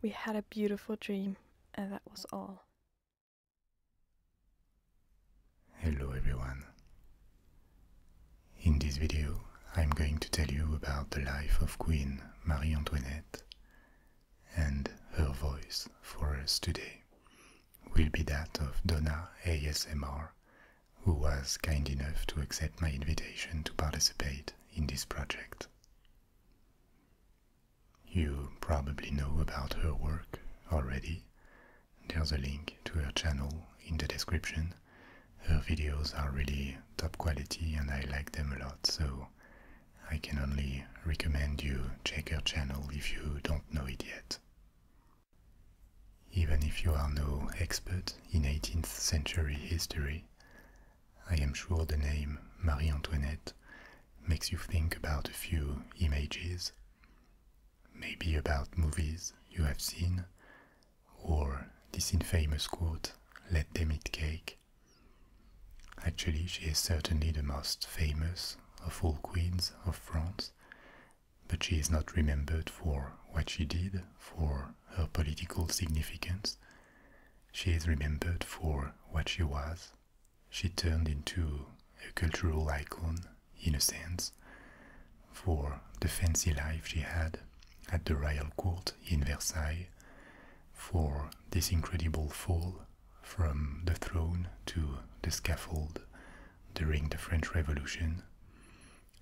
We had a beautiful dream, and that was all. Hello everyone. In this video, I'm going to tell you about the life of Queen Marie Antoinette and her voice for us today will be that of Donna ASMR, who was kind enough to accept my invitation to participate in this project you probably know about her work already. There's a link to her channel in the description. Her videos are really top quality and I like them a lot, so I can only recommend you check her channel if you don't know it yet. Even if you are no expert in 18th century history, I am sure the name Marie Antoinette makes you think about a few images, maybe about movies you have seen, or this infamous quote, let them eat cake. Actually, she is certainly the most famous of all queens of France, but she is not remembered for what she did, for her political significance. She is remembered for what she was. She turned into a cultural icon, in a sense, for the fancy life she had at the royal court in Versailles, for this incredible fall from the throne to the scaffold during the French Revolution.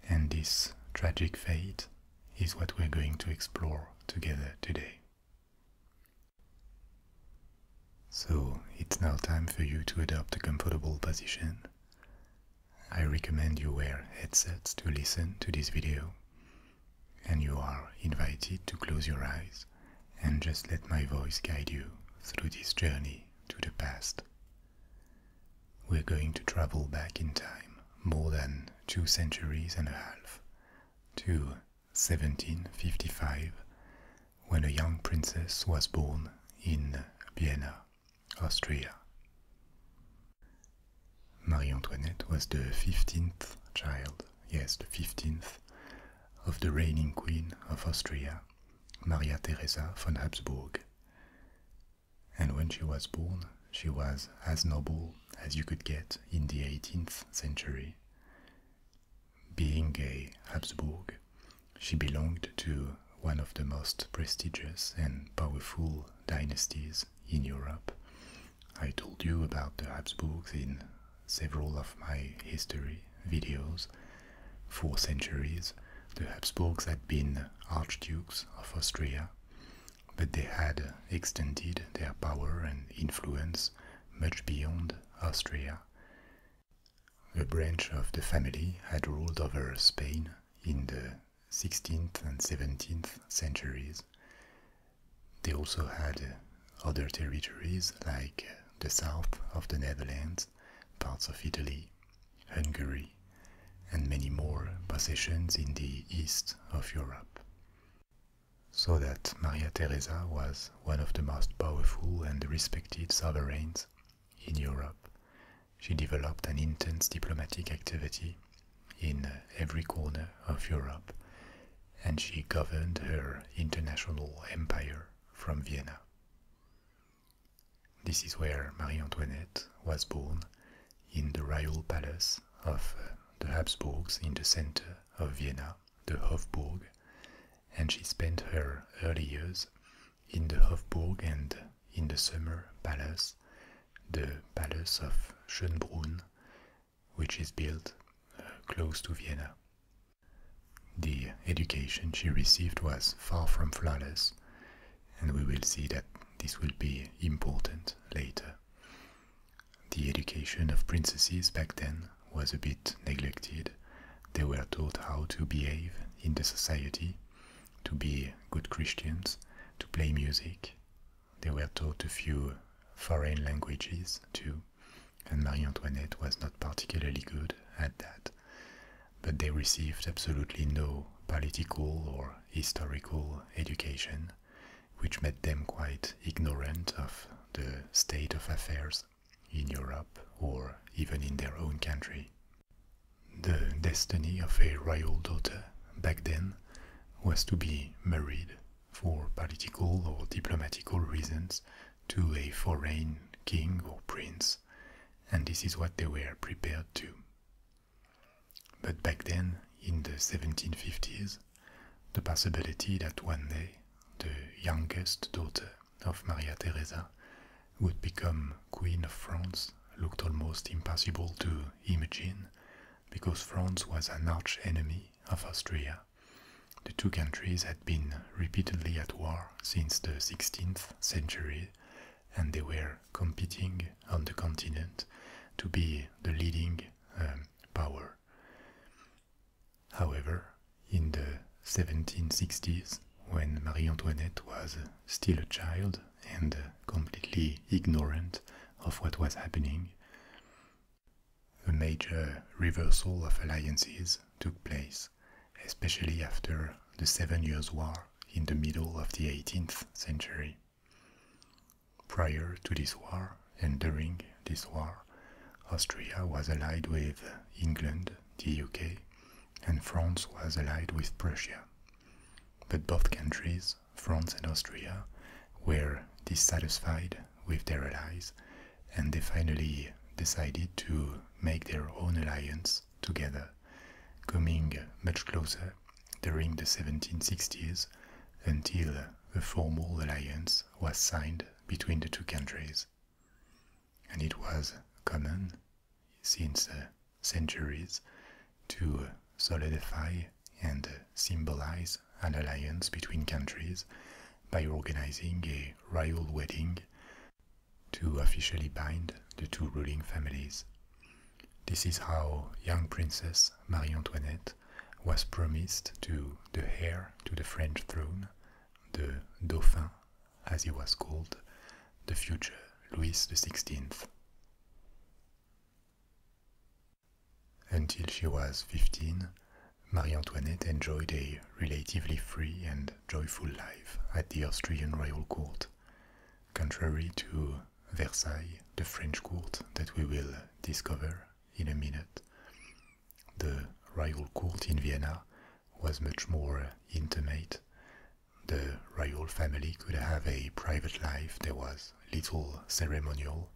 And this tragic fate is what we're going to explore together today. So it's now time for you to adopt a comfortable position. I recommend you wear headsets to listen to this video, and you are invited to close your eyes and just let my voice guide you through this journey to the past. We're going to travel back in time more than two centuries and a half to 1755, when a young princess was born in Vienna, Austria. Marie Antoinette was the 15th child, yes, the 15th, of the reigning queen of Austria, Maria Theresa von Habsburg. And when she was born, she was as noble as you could get in the 18th century. Being a Habsburg, she belonged to one of the most prestigious and powerful dynasties in Europe. I told you about the Habsburgs in several of my history videos. For centuries, the Habsburgs had been archdukes of Austria, but they had extended their power and influence much beyond Austria. A branch of the family had ruled over Spain in the 16th and 17th centuries. They also had other territories like the south of the Netherlands, parts of Italy, Hungary, and many more possessions in the east of Europe so that Maria Theresa was one of the most powerful and respected sovereigns in Europe. She developed an intense diplomatic activity in uh, every corner of Europe, and she governed her international empire from Vienna. This is where Marie Antoinette was born in the royal palace of uh, the Habsburgs in the center of Vienna, the Hofburg, and she spent her early years in the Hofburg and in the summer palace, the Palace of Schönbrunn, which is built uh, close to Vienna. The education she received was far from flawless, and we will see that this will be important later. The education of princesses back then was a bit neglected. They were taught how to behave in the society, to be good Christians, to play music. They were taught a few foreign languages too, and Marie Antoinette was not particularly good at that. But they received absolutely no political or historical education which made them quite ignorant of the state of affairs in Europe or even in their own country. The destiny of a royal daughter back then was to be married for political or diplomatical reasons to a foreign king or prince, and this is what they were prepared to. But back then, in the 1750s, the possibility that one day the youngest daughter of Maria Theresa would become Queen of France looked almost impossible to imagine because France was an arch enemy of Austria. The two countries had been repeatedly at war since the 16th century and they were competing on the continent to be the leading um, power. However, in the 1760s, when Marie Antoinette was still a child and completely ignorant of what was happening, a major reversal of alliances took place, especially after the Seven Years' War in the middle of the 18th century. Prior to this war and during this war, Austria was allied with England, the UK, and France was allied with Prussia. But both countries, France and Austria, were dissatisfied with their allies and they finally decided to make their own alliance together, coming much closer during the 1760s until a formal alliance was signed between the two countries. And it was common, since uh, centuries, to solidify and symbolize an alliance between countries by organizing a royal wedding to officially bind the two ruling families. This is how young Princess Marie Antoinette was promised to the heir to the French throne, the Dauphin, as he was called, the future Louis XVI. Until she was 15, Marie Antoinette enjoyed a relatively free and joyful life at the Austrian royal court, contrary to Versailles, the French court that we will discover in a minute. The royal court in Vienna was much more intimate. The royal family could have a private life, there was little ceremonial,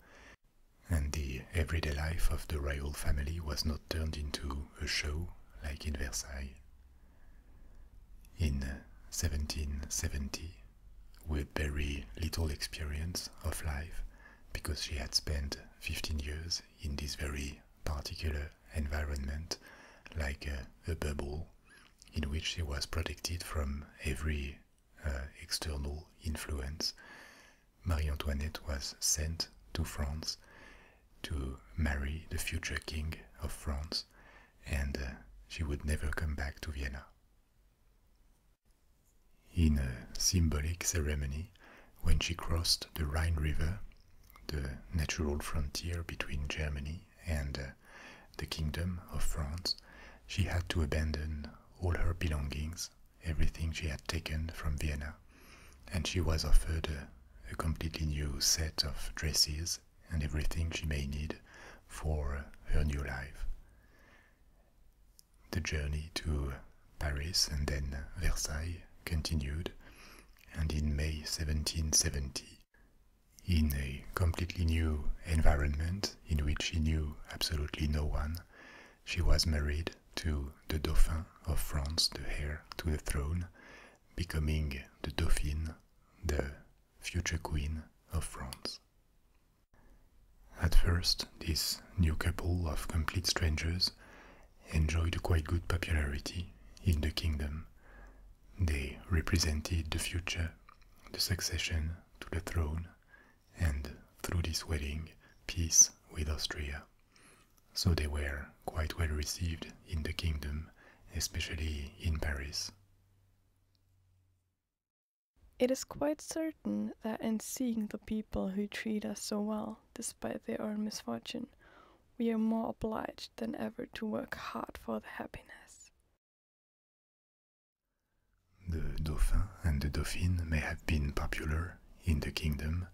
and the everyday life of the royal family was not turned into a show like in Versailles. In 1770, with very little experience of life, because she had spent 15 years in this very particular environment, like a, bubble, in which she was protected from every uh, external influence. Marie Antoinette was sent to France to marry the future king of France, and uh, she would never come back to Vienna. In a symbolic ceremony, when she crossed the Rhine River, the natural frontier between Germany and uh, the Kingdom of France, she had to abandon all her belongings, everything she had taken from Vienna, and she was offered a completely new set of dresses and everything she may need for her new life. The journey to Paris and then Versailles continued, and in May 1770, in a completely new environment in which she knew absolutely no one, she was married to the Dauphin of France, the heir to the throne, becoming the Dauphine, the future Queen of France. At first, this new couple of complete strangers enjoyed quite good popularity in the kingdom. They represented the future, the succession to the throne, and through this wedding, peace with Austria. So they were quite well received in the kingdom, especially in Paris. It is quite certain that in seeing the people who treat us so well, despite their own misfortune, we are more obliged than ever to work hard for their happiness. The Dauphin and the Dauphine may have been popular in the kingdom,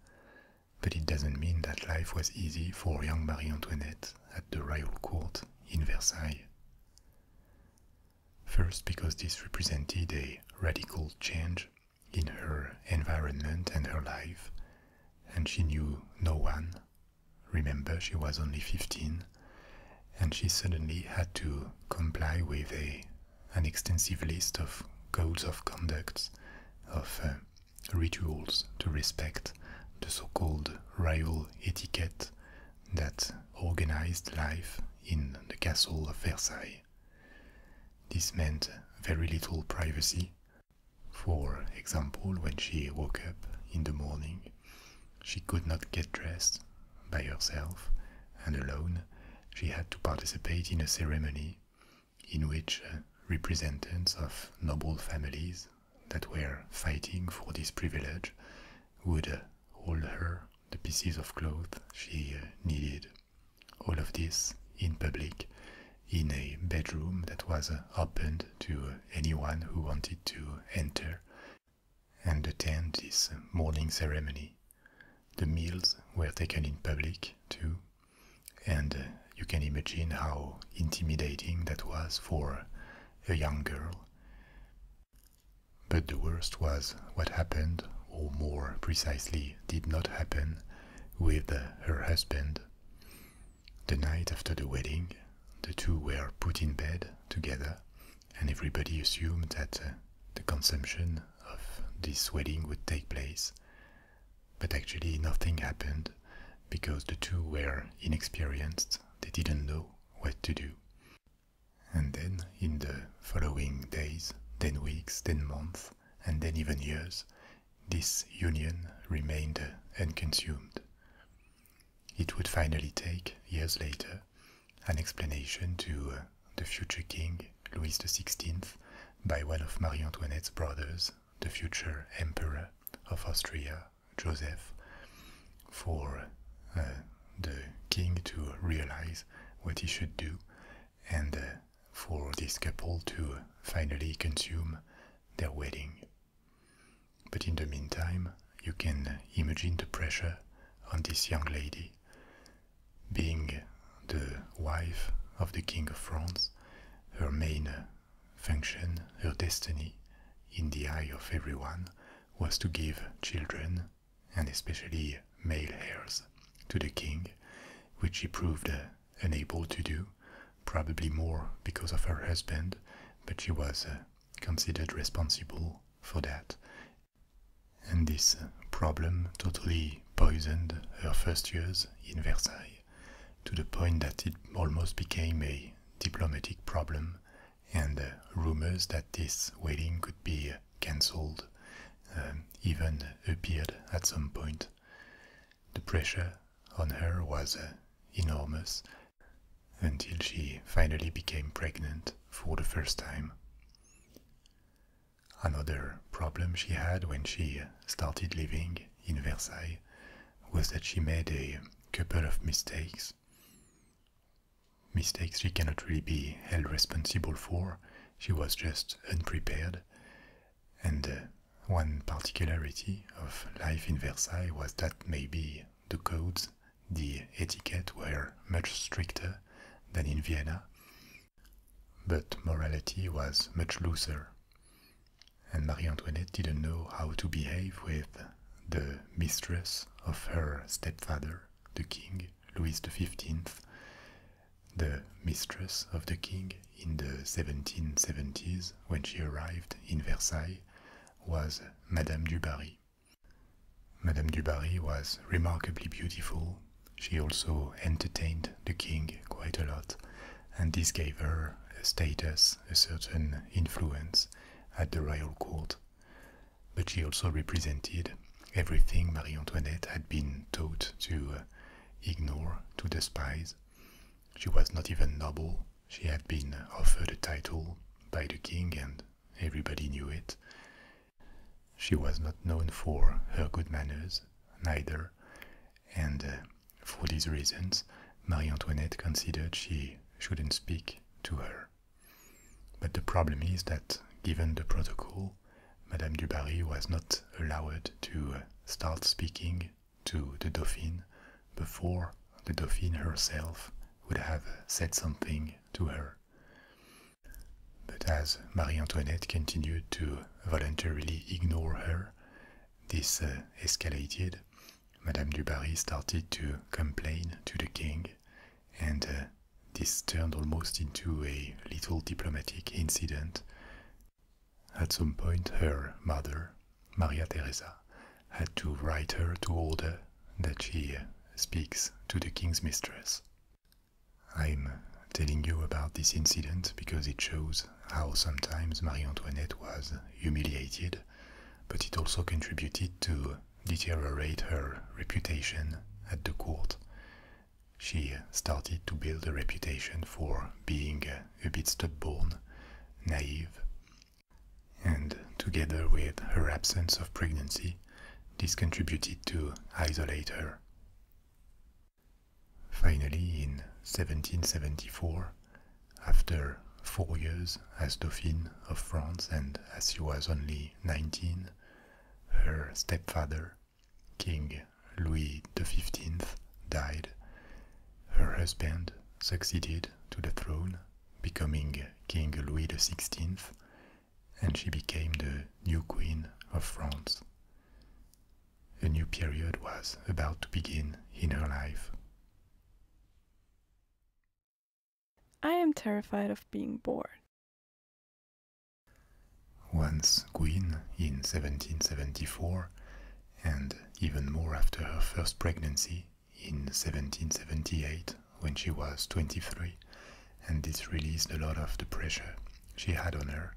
but it doesn't mean that life was easy for young Marie Antoinette at the royal court in Versailles. First, because this represented a radical change in her environment and her life, and she knew no one. Remember, she was only 15, and she suddenly had to comply with a, an extensive list of codes of conduct, of uh, rituals to respect, the so called royal etiquette that organized life in the castle of Versailles. This meant very little privacy. For example, when she woke up in the morning, she could not get dressed by herself and alone. She had to participate in a ceremony in which uh, representatives of noble families that were fighting for this privilege would uh, hold her the pieces of cloth she uh, needed all of this in public, in a bedroom that was uh, opened to uh, anyone who wanted to enter and attend this morning ceremony. The meals were taken in public too, and uh, you can imagine how intimidating that was for a young girl. But the worst was what happened, or more precisely, did not happen with her husband. The night after the wedding, the two were put in bed together, and everybody assumed that uh, the consummation of this wedding would take place. But actually, nothing happened because the two were inexperienced, they didn't know what to do. And then in the following days, then weeks, then months, and then even years, this union remained unconsumed. It would finally take, years later, an explanation to uh, the future king, Louis XVI, by one of Marie Antoinette's brothers, the future emperor of Austria, Joseph, for uh, the king to realize what he should do and uh, for this couple to finally consume their wedding. But in the meantime, you can imagine the pressure on this young lady. Being the wife of the King of France, her main function, her destiny, in the eye of everyone, was to give children and especially male heirs to the king, which she proved uh, unable to do, probably more because of her husband, but she was uh, considered responsible for that. And this uh, problem totally poisoned her first years in Versailles, to the point that it almost became a diplomatic problem, and rumors that this wedding could be cancelled, um, even appeared at some point. The pressure on her was uh, enormous until she finally became pregnant for the first time. Another problem she had when she started living in Versailles was that she made a couple of mistakes. Mistakes she cannot really be held responsible for, she was just unprepared. And uh, one particularity of life in Versailles was that maybe the codes, the etiquette were much stricter than in Vienna, but morality was much looser. And Marie Antoinette didn't know how to behave with the mistress of her stepfather, the king, Louis XV, the mistress of the king in the 1770s when she arrived in Versailles, was Madame du Barry. Madame du Barry was remarkably beautiful. She also entertained the king quite a lot, and this gave her a status, a certain influence at the royal court. But she also represented everything Marie Antoinette had been taught to uh, ignore, to despise. She was not even noble. She had been offered a title by the king and everybody knew it. She was not known for her good manners, neither, and uh, for these reasons, Marie Antoinette considered she shouldn't speak to her. But the problem is that, given the protocol, Madame du Barry was not allowed to uh, start speaking to the Dauphin before the Dauphin herself would have said something to her. But as Marie Antoinette continued to voluntarily ignore her, this uh, escalated. Madame du Barry started to complain to the king, and uh, this turned almost into a little diplomatic incident. At some point, her mother, Maria Theresa, had to write her to order that she speaks to the king's mistress. I'm telling you about this incident because it shows how sometimes Marie Antoinette was humiliated, but it also contributed to deteriorate her reputation at the court she started to build a reputation for being a bit stubborn, naive, and together with her absence of pregnancy, this contributed to isolate her. Finally, in 1774, after four years as Dauphine of France and as she was only 19, her stepfather, King Louis the Fifteenth died. Her husband succeeded to the throne, becoming King Louis the Sixteenth, and she became the new Queen of France. A new period was about to begin in her life. I am terrified of being bored. Once Gwyn, in 1774, and even more after her first pregnancy, in 1778, when she was 23, and this released a lot of the pressure she had on her.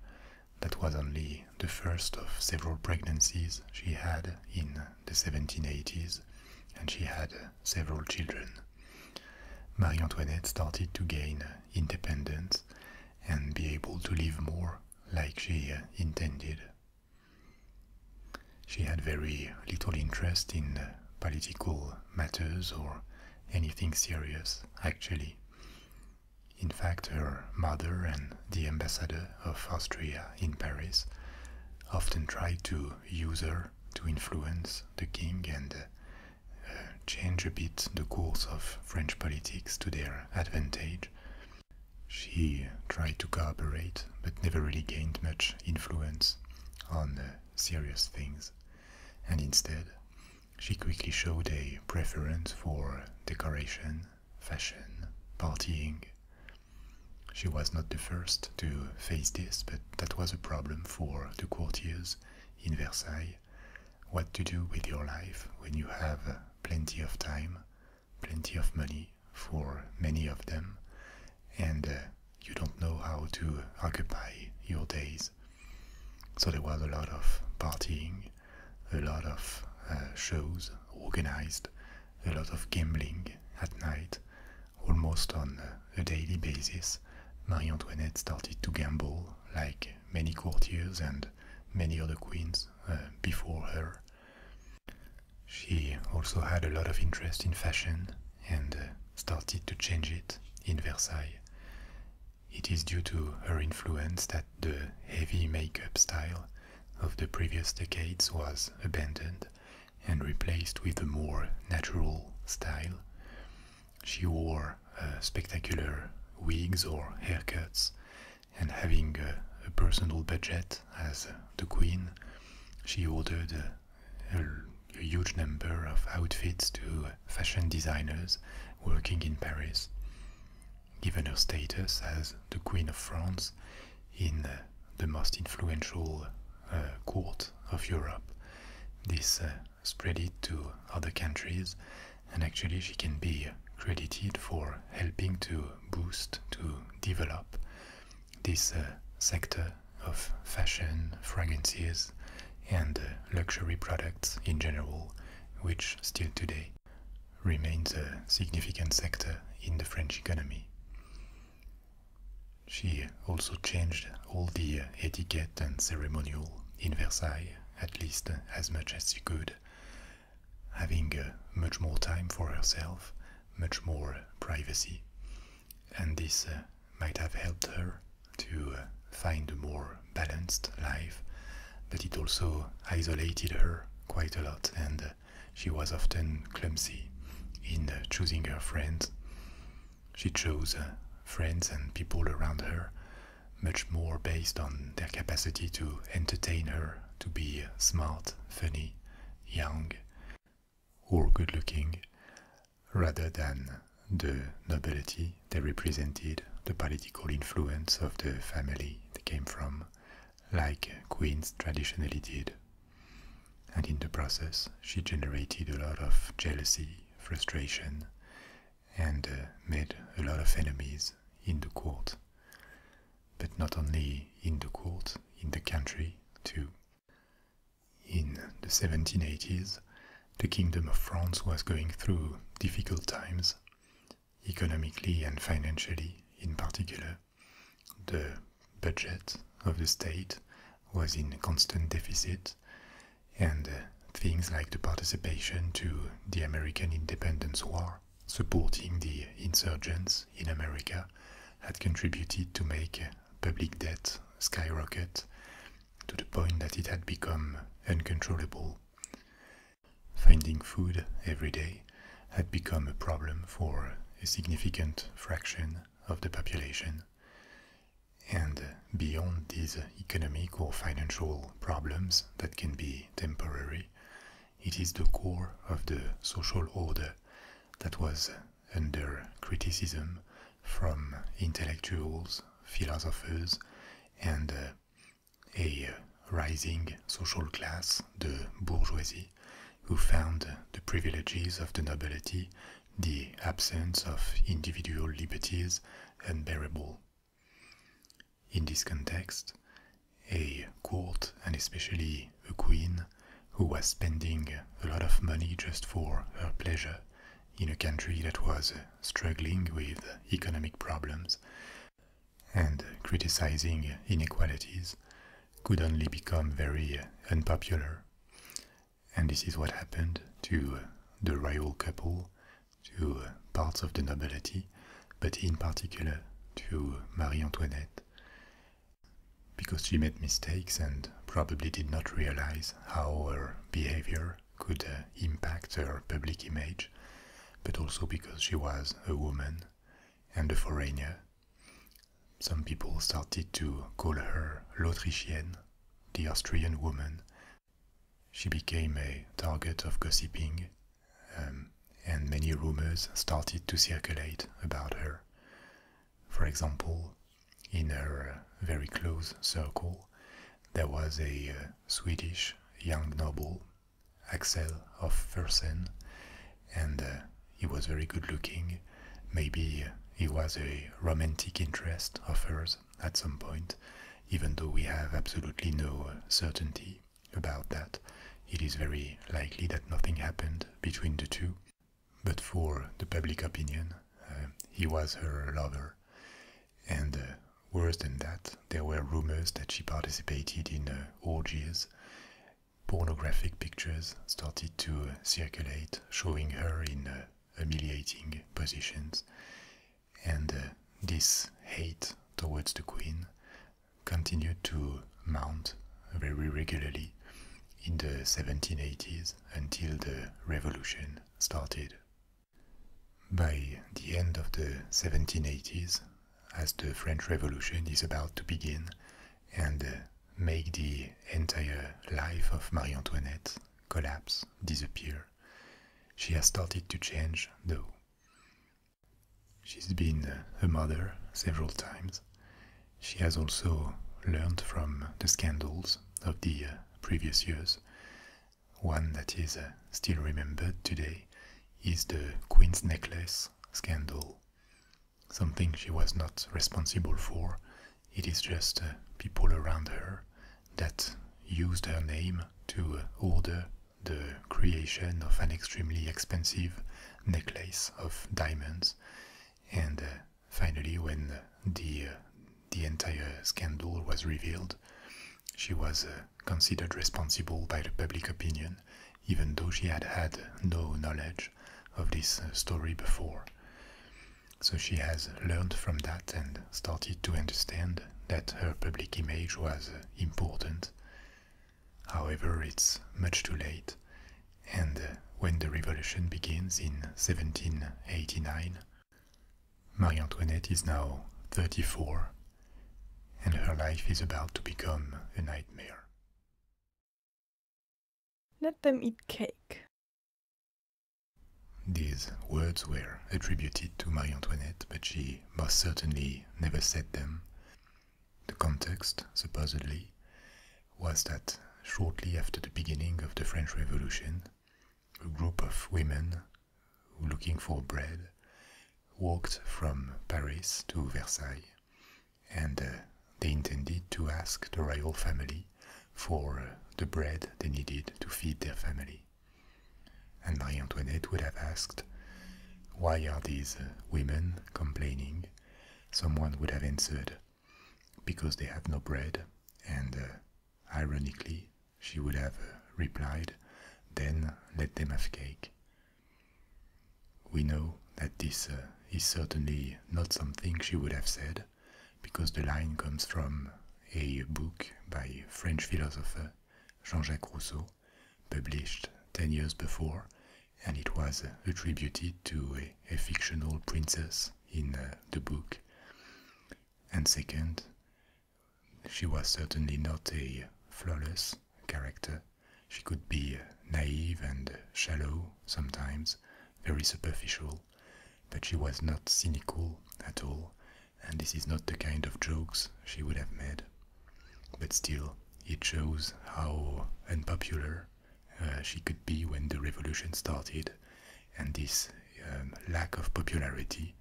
That was only the first of several pregnancies she had in the 1780s, and she had several children. Marie Antoinette started to gain independence and be able to live more like she uh, intended. She had very little interest in uh, political matters or anything serious, actually. In fact, her mother and the ambassador of Austria in Paris often tried to use her to influence the king and uh, change a bit the course of French politics to their advantage. She tried to cooperate, but never really gained much influence on serious things, and instead, she quickly showed a preference for decoration, fashion, partying. She was not the first to face this, but that was a problem for the courtiers in Versailles, what to do with your life when you have uh, plenty of time, plenty of money for many of them, and uh, you don't know how to occupy your days. So there was a lot of partying, a lot of uh, shows organized, a lot of gambling at night, almost on a daily basis. Marie Antoinette started to gamble like many courtiers and many other queens uh, before her. She also had a lot of interest in fashion and uh, started to change it in Versailles. It is due to her influence that the heavy makeup style of the previous decades was abandoned and replaced with a more natural style. She wore uh, spectacular wigs or haircuts, and having a, personal budget as uh, the queen, she ordered uh, a, huge number of outfits to fashion designers working in Paris. Given her status as the Queen of France in the most influential court of Europe, this spread it to other countries, and actually, she can be credited for helping to boost, to develop this uh, sector of fashion, fragrances, and uh, luxury products in general, which still today remains a significant sector in the French economy. She also changed all the uh, etiquette and ceremonial in Versailles, at least as much as she could, having uh, much more time for herself, much more privacy, and this uh, might have helped her to uh, find a more balanced life, but it also isolated her quite a lot, and she was often clumsy in choosing her friends. She chose friends and people around her much more based on their capacity to entertain her, to be smart, funny, young, or good looking, rather than the nobility they represented, the political influence of the family they came from, like queens traditionally did. And in the process, she generated a lot of jealousy, frustration, and uh, made a lot of enemies in the court. But not only in the court, in the country too. In the 1780s, the Kingdom of France was going through difficult times, economically and financially in particular. The budget of the state was in constant deficit, and uh, things like the participation to the American Independence War, supporting the insurgents in America, had contributed to make public debt skyrocket to the point that it had become uncontrollable. Finding food every day had become a problem for a significant fraction of the population. And beyond these economic or financial problems that can be temporary, it is the core of the social order that was under criticism from intellectuals, philosophers, and uh, a rising social class, the bourgeoisie, who found the privileges of the nobility, the absence of individual liberties, unbearable. In this context, a court and especially a queen who was spending a lot of money just for her pleasure in a country that was struggling with economic problems and criticizing inequalities could only become very unpopular. And this is what happened to the royal couple to uh, parts of the nobility, but in particular to Marie Antoinette, because she made mistakes and probably did not realize how her behavior could uh, impact her public image, but also because she was a woman and a foreigner. Some people started to call her l'Autrichienne, the Austrian woman, she became a target of gossiping, um, and many rumors started to circulate about her. For example, in her uh, very close circle, there was a uh, Swedish young noble, Axel of Fersen, and uh, he was very good looking. Maybe he was a romantic interest of hers at some point, even though we have absolutely no certainty about that. It is very likely that nothing happened between the two, but for the public opinion, uh, he was her lover. And uh, worse than that, there were rumors that she participated in uh, orgies. Pornographic pictures started to circulate, showing her in humiliating positions and uh, this hate towards the queen continued to mount very regularly in the 1780s until the revolution started. By the end of the 1780s, as the French Revolution is about to begin and uh, make the entire life of Marie Antoinette collapse, disappear, she has started to change, though. She's been a mother several times. She has also learned from the scandals of the uh, previous years. One that is uh, still remembered today is the Queen's Necklace scandal. Something she was not responsible for. It is just uh, people around her that used her name to order the creation of an extremely expensive necklace of diamonds, and uh, finally, when uh, the, uh, the entire scandal was revealed, she was considered responsible by the public opinion, even though she had had no knowledge of this story before. So she has learned from that and started to understand that her public image was important However, it's much too late, and uh, when the revolution begins in 1789, Marie Antoinette is now 34, and her life is about to become a nightmare. Let them eat cake. These words were attributed to Marie Antoinette, but she she certainly never said them. The context, supposedly, was that shortly after the beginning of the French Revolution, a group of women looking for bread walked from Paris to Versailles, and uh, they intended to ask the royal family for uh, the bread they needed to feed their family. And Marie Antoinette would have asked, Why are these uh, women complaining? Someone would have answered, Because they have no bread. And uh, ironically, she would have uh, replied, Then let them have cake. We know that this is certainly not something she would have said, because the line comes from a book by French philosopher Jean-Jacques Rousseau, published ten years before, and it was attributed to a, fictional princess in uh, the book. And second, she was certainly not a flawless character. She could be uh, naive and shallow sometimes, very superficial, but she was not cynical at all, and this is not the kind of jokes she would have made. But still, it shows how unpopular uh, she could be when the revolution started, and this um, lack of popularity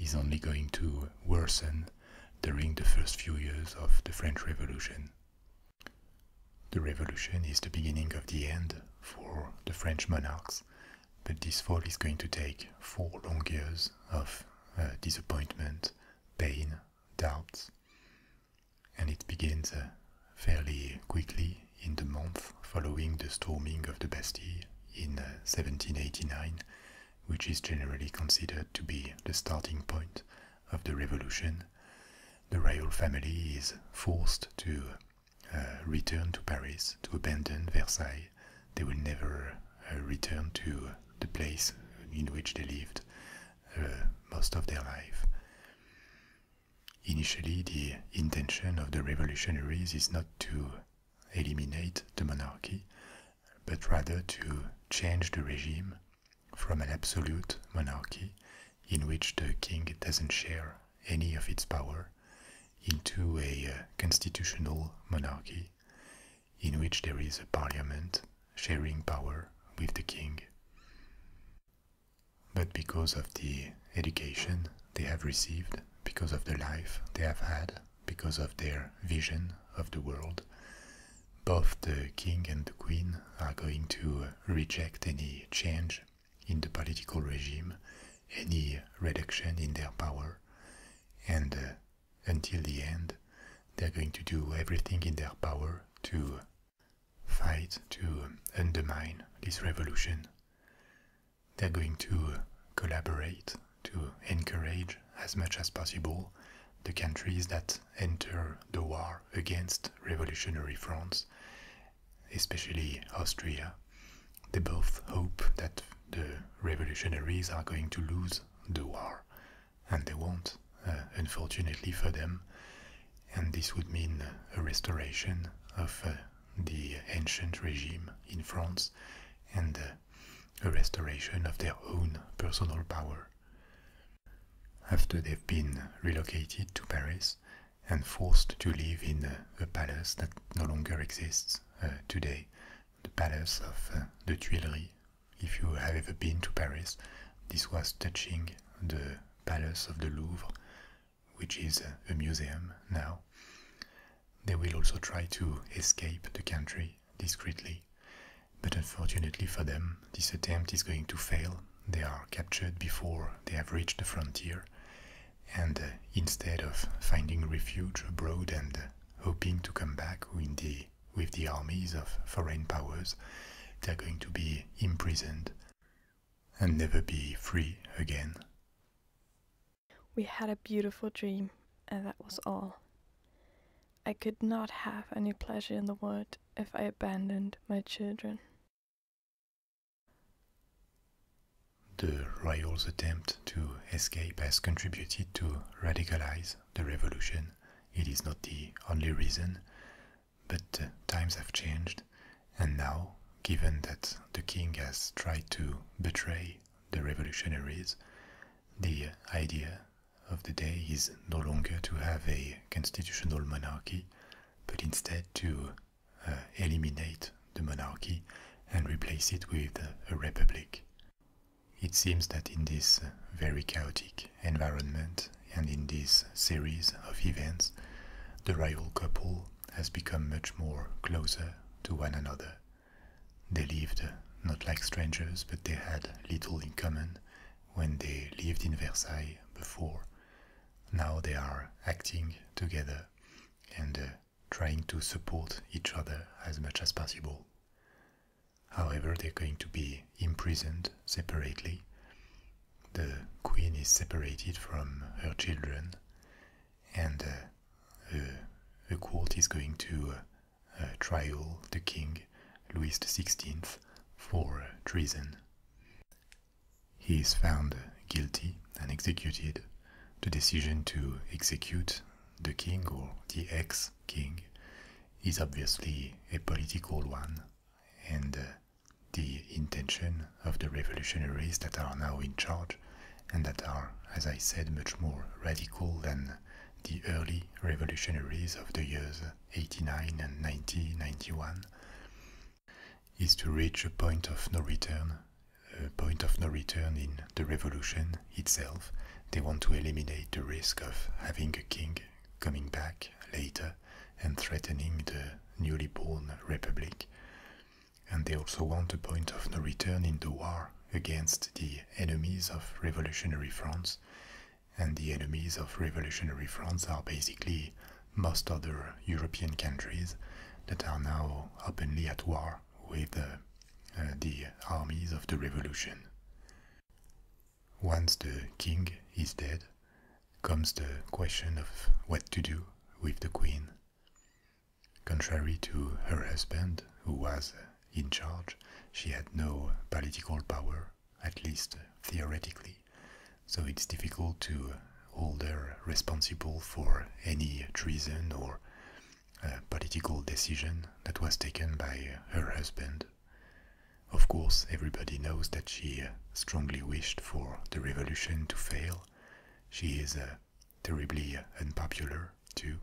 is only going to worsen during the first few years of the French Revolution. The revolution is the beginning of the end for the French monarchs, but this fall is going to take four long years of uh, disappointment pain, doubts. And it begins uh, fairly quickly in the month following the storming of the Bastille in 1789, uh, which is generally considered to be the starting point of the revolution. The royal family is forced to uh, return to Paris to abandon Versailles they will never uh, return to the place in which they lived uh, most of their life. Initially, the intention of the revolutionaries is not to eliminate the monarchy, but rather to change the regime from an absolute monarchy in which the king doesn't share any of its power into a uh, constitutional monarchy in which there is a parliament sharing power with the king. But because of the education they have received, because of the life they have had, because of their vision of the world, both the king and the queen are going to reject any change in the political regime, any reduction in their power, and uh, until the end, they're going to do everything in their power to fight, to undermine this revolution. They're going to collaborate, to encourage as much as possible the countries that enter the war against revolutionary France, especially Austria. They both hope that the revolutionaries are going to lose the war and they won't, uh, unfortunately for them. And this would mean a restoration of uh, the ancient regime in France and uh, a restoration of their own personal power. After they've been relocated to Paris and forced to live in a palace that no longer exists today, the palace of the Tuileries if you have ever been to Paris, this was touching the Palace of the Louvre, which is a museum now. They will also try to escape the country discreetly, but unfortunately for them, this attempt is going to fail. They are captured before they have reached the frontier, and uh, instead of finding refuge abroad and uh, hoping to come back in the with the armies of foreign powers, they are going to be imprisoned and never be free again. We had a beautiful dream, and that was all. I could not have any pleasure in the world if I abandoned my children. The royal's attempt to escape has contributed to radicalize the revolution it is not the only reason, but uh, times have changed, and now, given that the king has tried to betray the revolutionaries, the idea of the day is no longer to have a constitutional monarchy, but instead to uh, eliminate the monarchy and replace it with a republic. It seems that in this uh, very chaotic environment and in this series of events, the rival couple has become much more closer to one another. They lived uh, not like strangers, but they had little in common when they lived in Versailles before. Now they are acting together and uh, trying to support each other as much as possible. However, they're going to be imprisoned separately. The queen is separated from her children, and uh, the court is going to uh, uh, trial the king, Louis XVI, for treason. He is found guilty and executed. The decision to execute the king or the ex king is obviously a political one, and uh, the intention of the revolutionaries that are now in charge and that are, as I said, much more radical than the early revolutionaries of the years 89 and 1991 is to reach a point of no return, a point of no return in the revolution itself, they want to eliminate the risk of having a king coming back later and threatening the newly born republic. And they also want a point of no return in the war against the enemies of revolutionary France. And the enemies of revolutionary France are basically most other European countries that are now openly at war with uh, uh, the armies of the revolution. Once the king is dead, comes the question of what to do with the queen. Contrary to her husband, who was in charge, she had no political power, at least theoretically, so it's difficult to hold her responsible for any treason or uh, political decision that was taken by her husband. Of course, everybody knows that she uh, strongly wished for the revolution to fail. She is uh, terribly unpopular, too.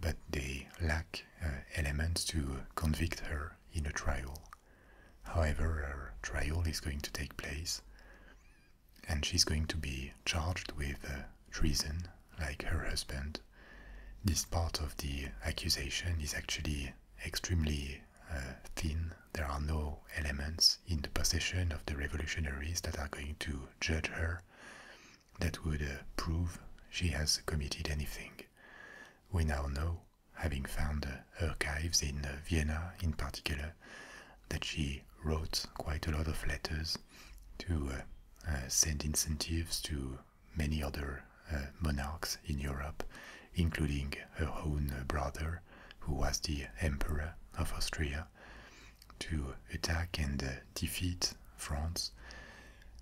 But they lack uh, elements to convict her in a trial. However, a trial is going to take place, and she's going to be charged with treason like her husband, this part of the accusation is actually extremely uh, thin. There are no elements in the possession of the revolutionaries that are going to judge her that would uh, prove she has committed anything. We now know, having found uh, archives in Vienna in particular, that she wrote quite a lot of letters to send incentives to many other uh, monarchs in Europe, including her own brother, who was the Emperor of Austria, to attack and uh, defeat France.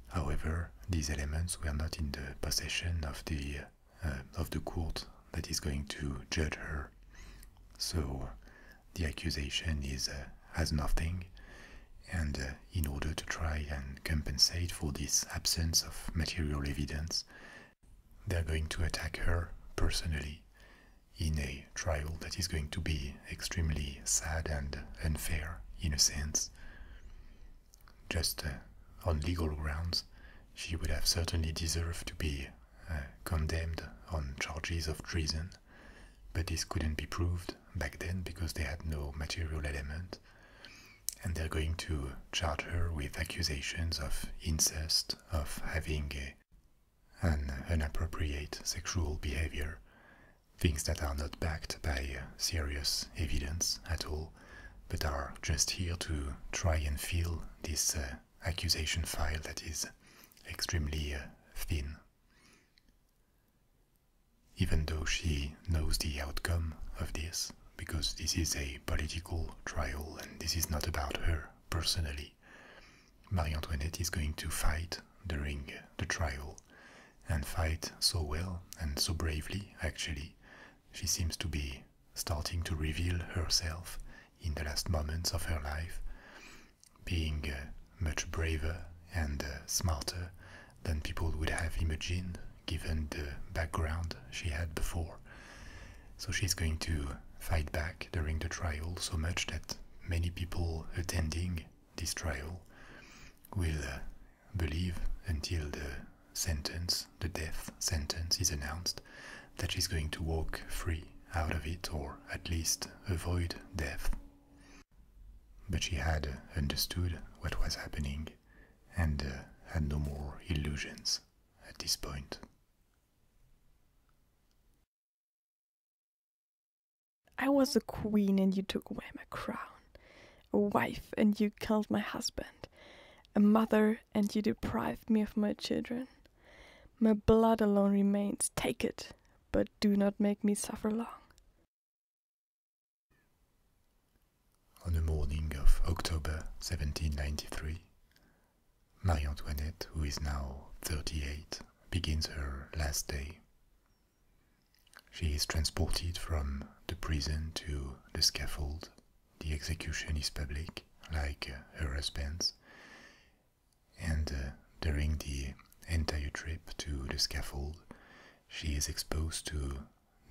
However, these elements were not in the possession of the uh, of the court that is going to judge her. So the accusation is uh, has nothing, and in order to try and compensate for this absence of material evidence, they're going to attack her personally in a trial that is going to be extremely sad and unfair in a sense. Just uh, on legal grounds, she would have certainly deserved to be uh, condemned on charges of treason, but this couldn't be proved back then because they had no material element and they're going to charge her with accusations of incest, of having an inappropriate sexual behavior, things that are not backed by serious evidence at all, but are just here to try and fill this uh, accusation file that is extremely uh, thin even though she knows the outcome of this, because this is a political trial and this is not about her personally. Marie Antoinette is going to fight during the trial and fight so well and so bravely, actually. She seems to be starting to reveal herself in the last moments of her life, being uh, much braver and uh, smarter than people would have imagined given the background she had before. So she's going to fight back during the trial so much that many people attending this trial will uh, believe until the sentence, the death sentence is announced, that she's going to walk free out of it or at least avoid death. But she had understood what was happening and had uh, no more illusions at this point. I was a queen and you took away my crown, a wife and you killed my husband, a mother and you deprived me of my children. My blood alone remains, take it, but do not make me suffer long. On the morning of October 1793, Marie Antoinette, who is now 38, begins her last day. She is transported from the prison to the scaffold. The execution is public, like uh, her husband's, and uh, during the entire trip to the scaffold, she is exposed to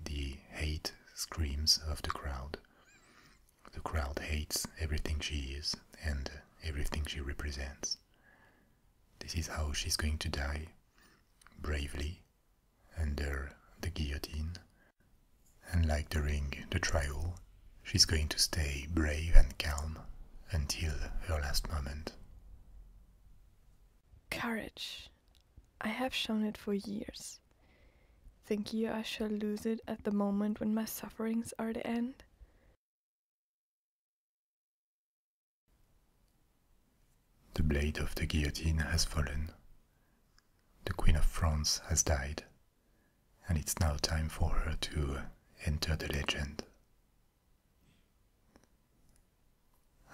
the hate screams of the crowd. The crowd hates everything she is and everything she represents. This is how she's going to die bravely under the guillotine. And like during the trial, she's going to stay brave and calm until her last moment. Courage. I have shown it for years. Think you I shall lose it at the moment when my sufferings are at an end? The blade of the guillotine has fallen. The Queen of France has died, and it's now time for her to enter the legend.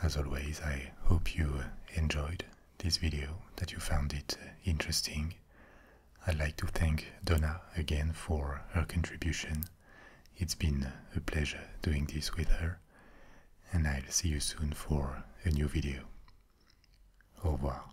As always, I hope you enjoyed this video, that you found it interesting. I'd like to thank Donna again for her contribution. It's been a pleasure doing this with her, and I'll see you soon for a new video. Au revoir.